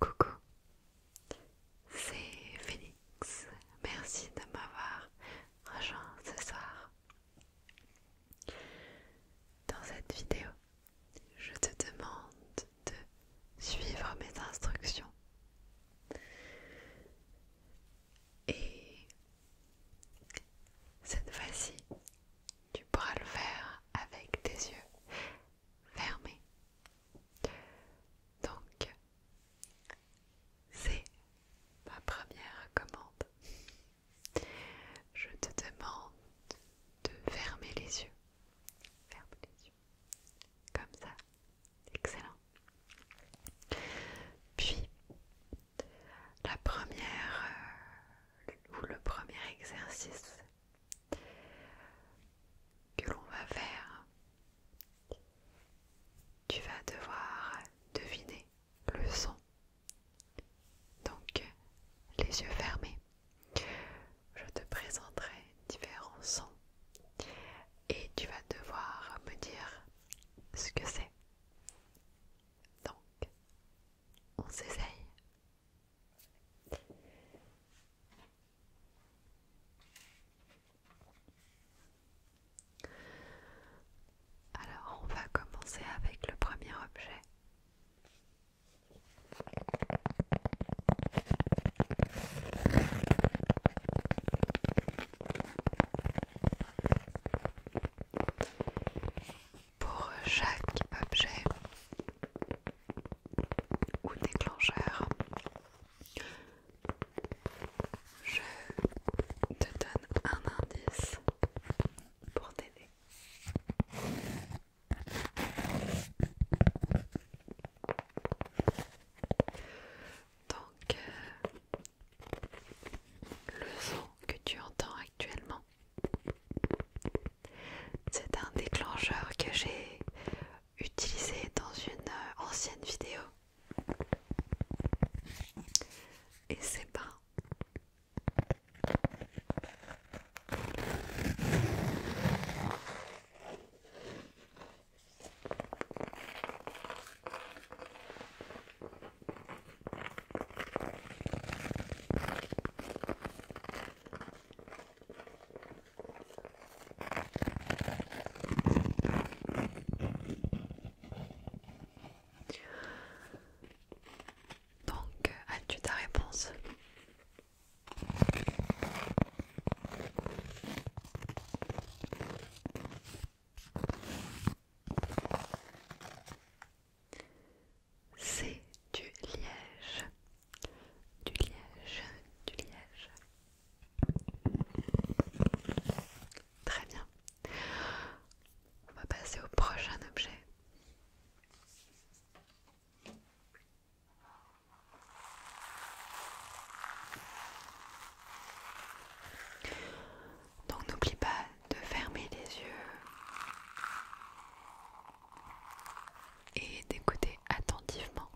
Coucou, c'est Phoenix. Merci de m'avoir rejoint ce soir. Dans cette vidéo, je te demande de suivre mes instructions et cette fois-ci, tu pourras le faire avec tes yeux fermés. Donc, c'est ma première commande. Je te demande de fermer les yeux. Ferme les yeux. Comme ça. Excellent. Puis, la première euh, ou le premier exercice que l'on va faire, tu vas devoir deviner le son. Donc, les yeux fermés, je te présenterai différents sons et tu vas devoir me dire ce que c'est. Donc, on s'essaye. Alors, on va commencer avec le premier objet pour chaque objet ou déclencheur. Je te donne un indice pour t'aider. Donc, euh, le son que tu entends actuellement c'est un déclencheur que j'ai utilisé dans une euh, ancienne vidéo. Et c'est pas. Donc, as-tu ta réponse c'est du liège. Du liège, du liège. Très bien. On va passer au prochain objet. Donc n'oublie pas de fermer les yeux et d'écouter attentivement.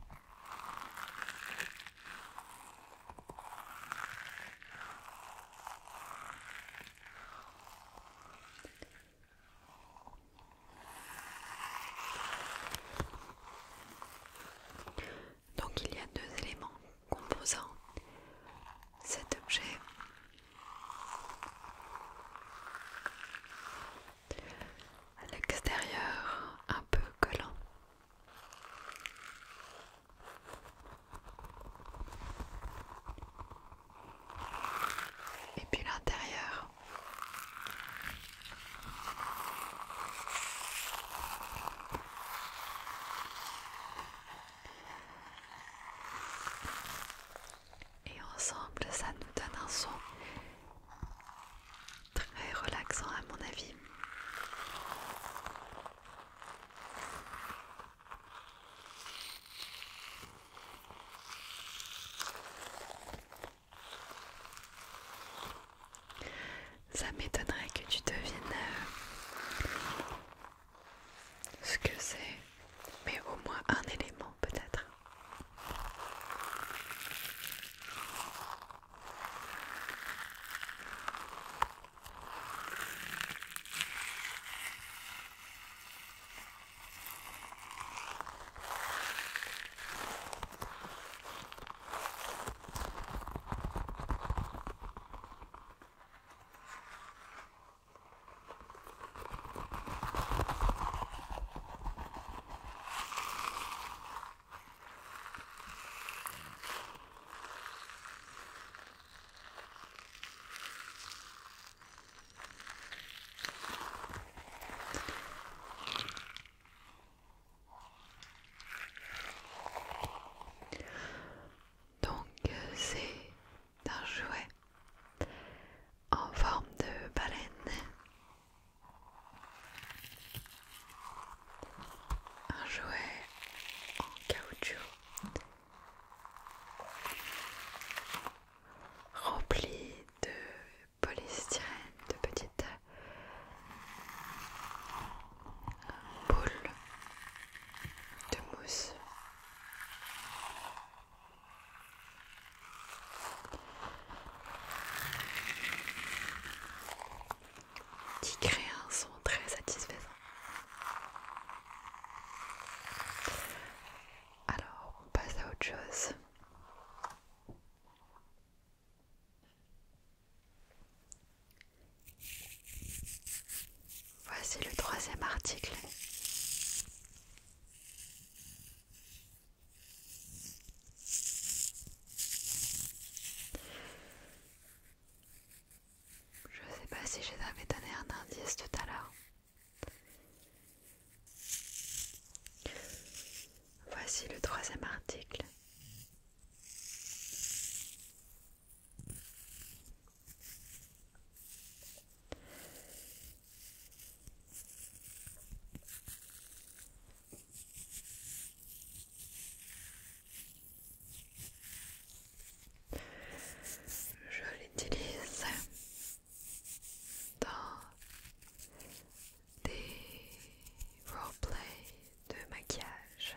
Donc il y a deux éléments composant cet objet à l'extérieur un peu collant. Et puis l'intérieur et ensemble ça nous donne un son très relaxant à mon avis. Ça m'étonnerait que tu deviennes euh, ce que c'est, mais au moins un élément peut-être. Donc euh, c'est d'un jouet en forme de baleine. Un jouet en caoutchouc rempli de polystyrène, de petites boules de mousse qui crée un son très satisfaisant. Alors, on passe à autre chose. Voici le troisième article. Je ne sais pas si je donné un indice tout à l'heure. Voici le troisième article. Je l'utilise dans des roleplay de maquillage.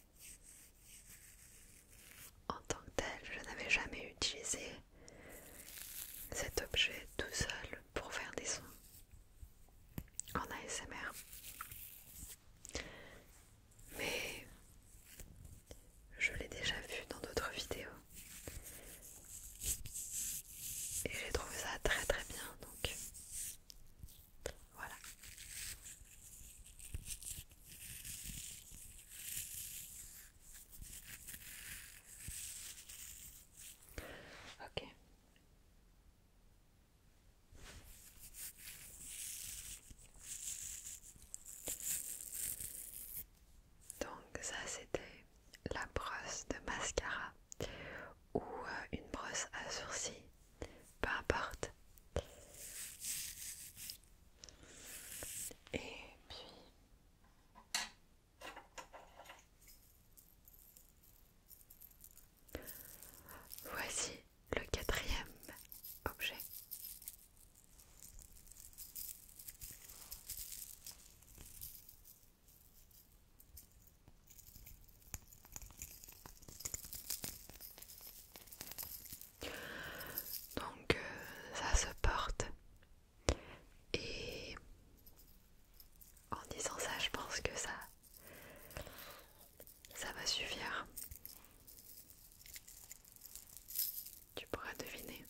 En tant que tel, je n'avais jamais utilisé cet objet tout seul pour faire des sons en ASMR. Mais je l'ai déjà vu dans d'autres vidéos. Et j'ai trouvé ça très très bien donc voilà. Ok. Donc ça c'était la brosse de mascara ou euh, une brosse à sourcils, peu importe. Et puis voici le quatrième objet. Donc euh, ça se porte. Et en disant ça, je pense que ça ça va suffire. Tu pourras deviner.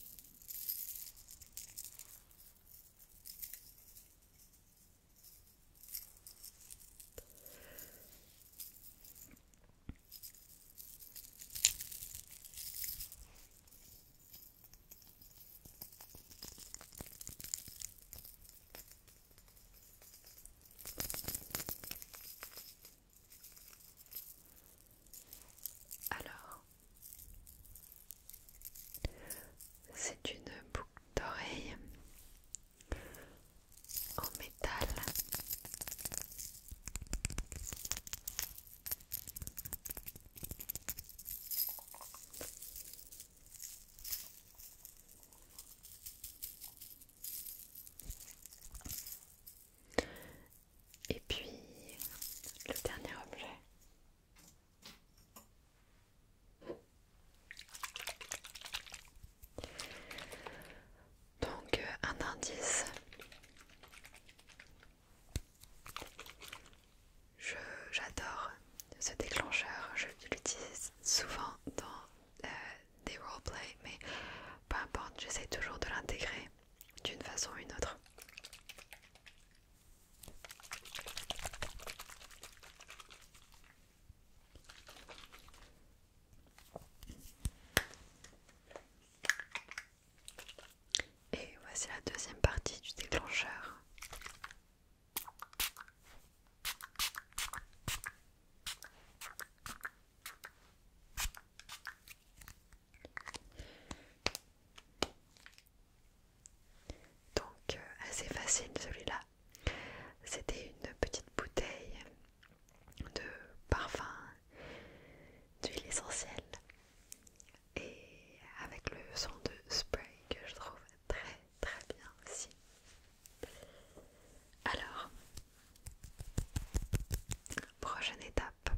Alors, c'est une boucle d'oreille en métal. Et puis le dernier objet donc euh, un indice. J'adore ce déclencheur, je l'utilise souvent dans euh, des roleplays, mais peu importe, j'essaie toujours de l'intégrer d'une façon ou une autre. Et voici la deuxième partie du déclencheur. Donc euh, assez facile celui-là c'était une petite bouteille de parfum d'huile essentielle et avec le son de spray que je trouve très très bien aussi. Alors, prochaine étape,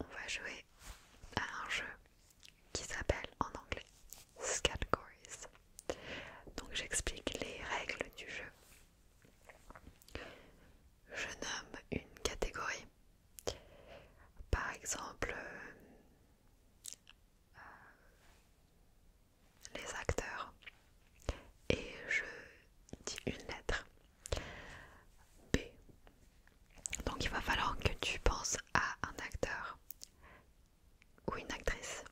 on va jouer à un jeu qui s'appelle en anglais donc j'explique les règles du jeu. Je nomme une catégorie. Par exemple, euh, les acteurs. Et je dis une lettre. B. Donc il va falloir que tu penses à un acteur ou une actrice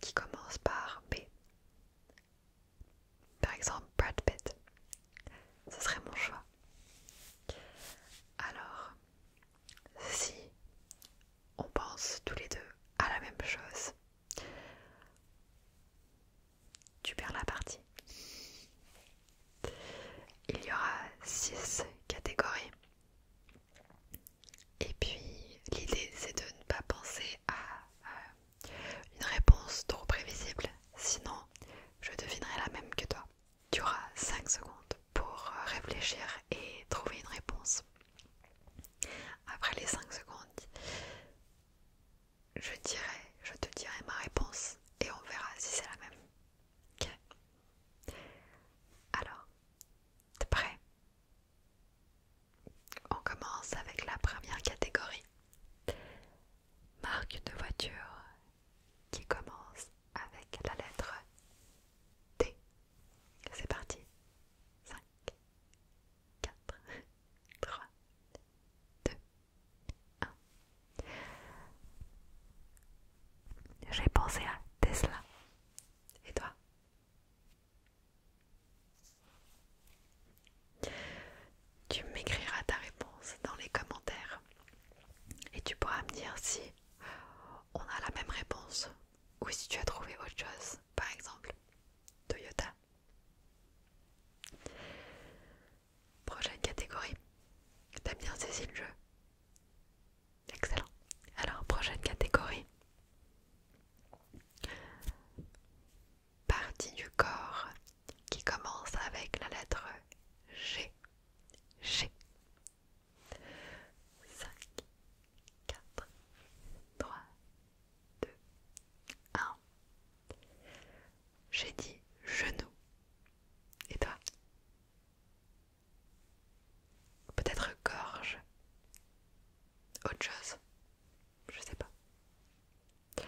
qui commence par B. Par exemple, Brad Pitt. Ce serait mon choix. Alors, si on pense tous les deux à la même chose, tu perds la partie. Il y aura six catégories et puis l'idée c'est de ne pas penser à euh, une réponse trop prévisible, sinon je devinerai la même que toi. Tu auras 5 secondes pour euh, réfléchir et trouver une réponse. Après les 5 secondes, je dirai, je te dirai ma réponse et on verra si c'est la même. Alors, T'es prêt On commence avec la première catégorie. Marque de voiture qui commence avec la lettre T. C'est parti. 5, 4, 3, 2, 1. J'ai pensé à Tesla. Et toi tu m'écriras ta réponse dans les commentaires et tu pourras me dire si on a la même réponse ou si tu as trouvé autre chose, par exemple Toyota. Prochaine catégorie. T'as bien saisi le jeu Excellent. Alors, prochaine catégorie. Partie du corps qui commence avec la lettre G. G. 5, 4, 3, 2, 1. J'ai dit genou. Et toi Peut-être gorge. Autre chose. Je sais pas.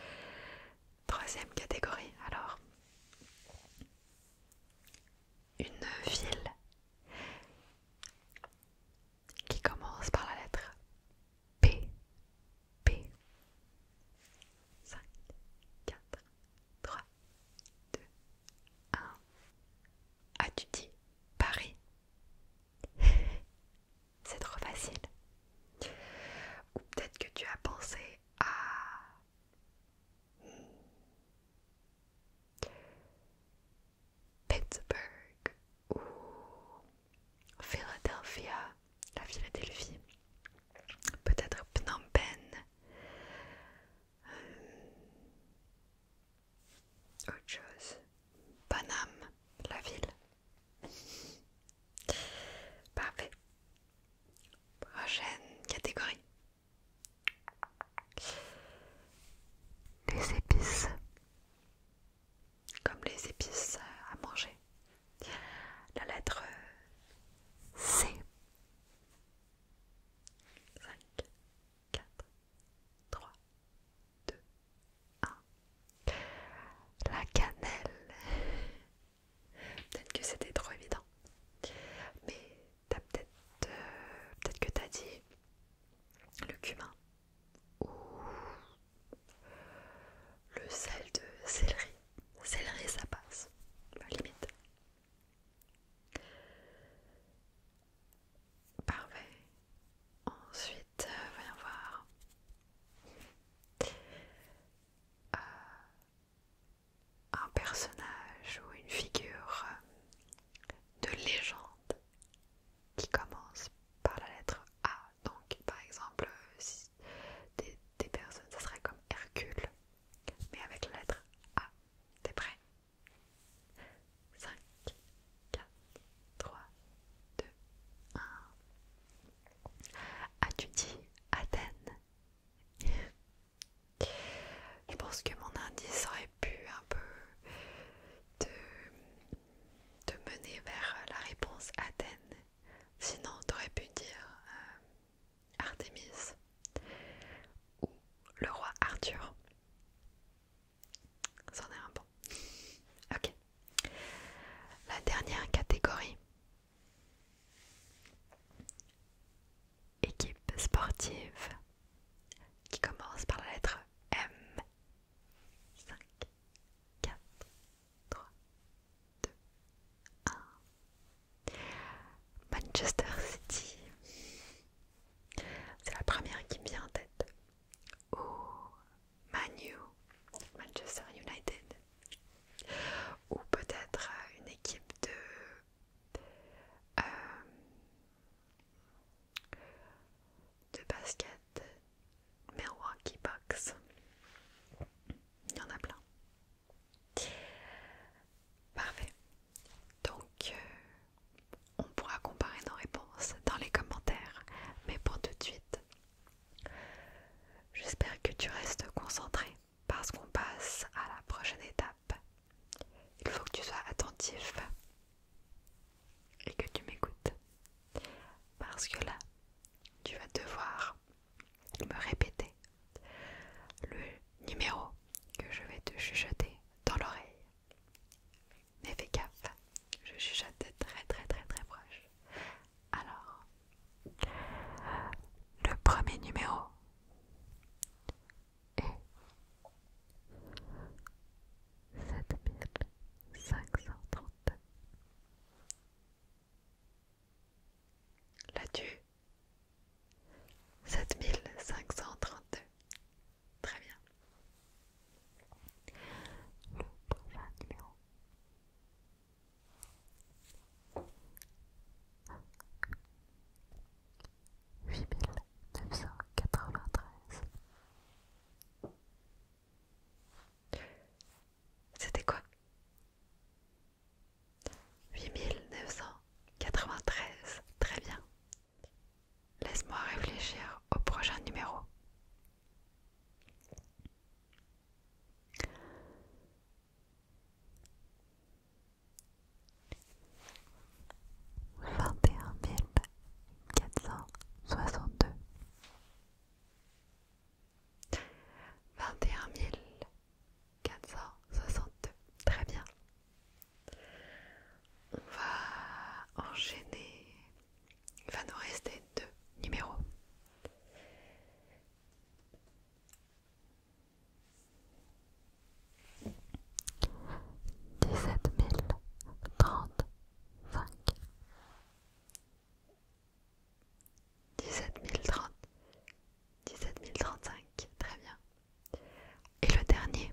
Troisième catégorie, alors. Une ville qui commence par la lettre P. P. 5, 4, 3, 2, 1. As-tu dit Paris C'est trop facile. Ou peut-être que tu as pensé à Pittsburgh ou Philadelphia, la Philadelphie, peut-être Phnom Penh, autre chose. Paname, la ville. Parfait. Prochaine catégorie. Les épices. Comme les épices à manger. La lettre C. 4, 3, 2, 1. La cannelle. Peut-être que c'était trop évident. Mais t'as peut-être... Euh, peut-être que t'as dit le cumin ou le sel de céleri. Céleri ça passe, limite. Parfait. Ensuite, euh, voyons voir. Euh, un personnage ou une figure euh, de légende qui commence par la lettre A. Donc, par exemple, des, des personnes, ça serait comme Hercule, mais avec la lettre A. T'es prêt 5, 4, 3, 2, 1. As-tu dit Athènes Je pense que mon indice aurait pu un peu te, mener vers la réponse Athènes. Sinon, t'aurais pu dire Artemis euh, Artémis ou le roi Arthur. C'en est un bon. Ok. La dernière catégorie. Équipe sportive qui commence par la lettre M. 5, 4, 3, 2, 1. Manchester City. C'est la première qui me vient en tête. Ou Manu, Manchester United. Ou peut-être une équipe de, euh, de basket, Milwaukee Bucks. Il y en a plein. Parfait. Donc, euh, on pourra comparer nos réponses dans les commentaires. Mais pour tout de suite, j'espère que tu restes concentré parce qu'on passe à la prochaine étape. Il faut que tu sois attentif et que tu m'écoutes. Parce que là, tu vas devoir me répéter le numéro que je vais te chuchoter dans l'oreille. Mais fais gaffe, je chuchote très très très très proche. Alors, le premier numéro est 7532. L'as-tu 7532. Très bien. Le prochain numéro. Huit mille neuf cent quatre-vingt-treize. C'était quoi? Huit mille neuf cent quatre-vingt-treize. Très bien. Laisse-moi réfléchir au prochain numéro. Vingt et un mille quatre cent soixante-deux. Vingt et un mille quatre cent soixante-deux. Très bien. On va enchaîner. Il va nous rester deux numéros. Dix-sept mille trente-cinq. Dix-sept mille trente. Dix-sept mille trente-cinq. Très bien. Et le dernier.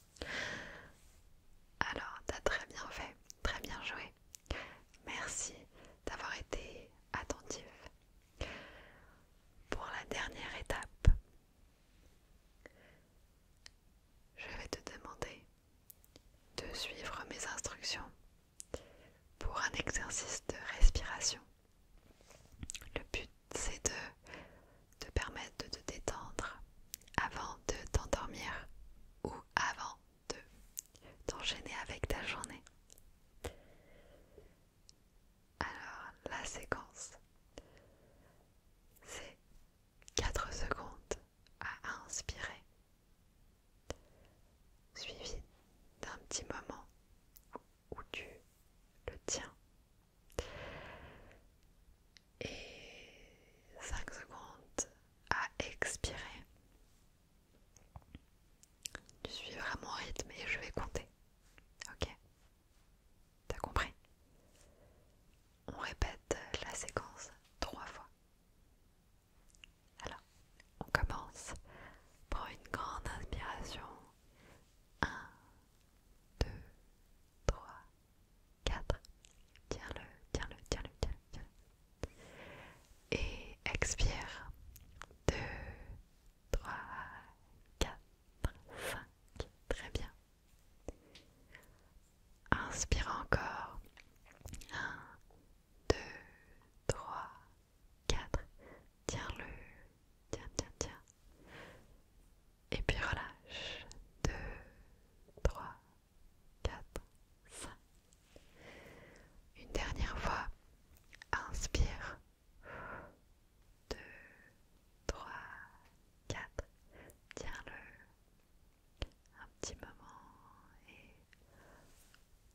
Alors, tu as très bien fait, très bien joué. Merci d'avoir été attentif. Pour la dernière étape, je vais te demander de suivre mes instructions pour un exercice de respiration. Le but, c'est de te permettre de te détendre avant de t'endormir ou avant de t'enchaîner avec ta journée. Alors, la séquence, c'est 4 secondes à inspirer, suivi d'un petit moment où tu le tiens et 5 secondes à expirer. Tu suis vraiment rythme et je vais compter. Ok T'as compris On répète la séquence 3 fois. Alors, on commence. Prends une grande inspiration. 1, 2, 3, 4. Tiens-le, tiens-le, tiens-le, tiens-le, Et expire. 2, 3, 4, 5. Très bien. Inspire encore. 1, 2, 3, 4. Tiens-le. Tiens, tiens, tiens. Et puis relâche. Deux, trois, quatre, cinq. Une dernière fois. Inspire. Deux, trois, quatre. Tiens-le. Un petit moment. Et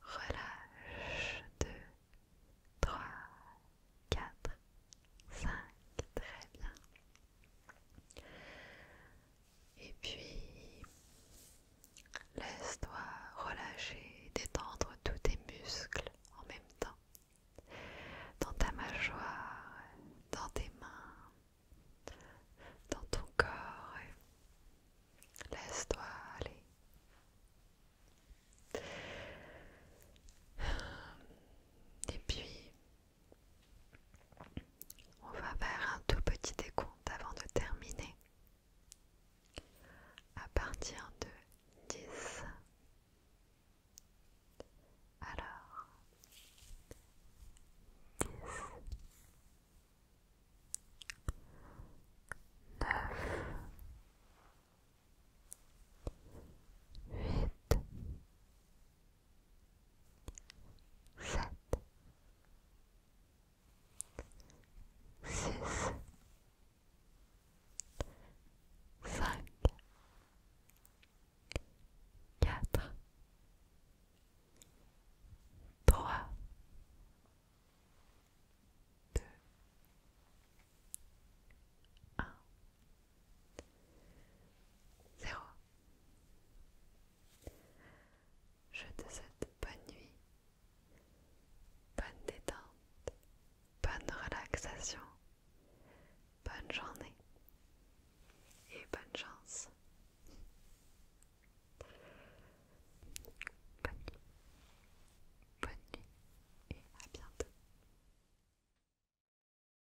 relâche. Deux, trois, quatre, cinq. Très bien. Et puis, laisse-toi relâcher détendre tous tes muscles en même temps. Dans ta mâchoire, dans tes mains, dans ton corps. Laisse-toi aller. Et puis, on va faire un tout petit décompte avant de terminer. À partir de 10. Alors 10 9 8 7 sept, six, cinq, quatre, trois, deux, un. Zéro Je te souhaite bonne nuit, bonne détente, bonne relaxation, bonne journée et bonne chance. Bonne nuit, bonne nuit et à bientôt.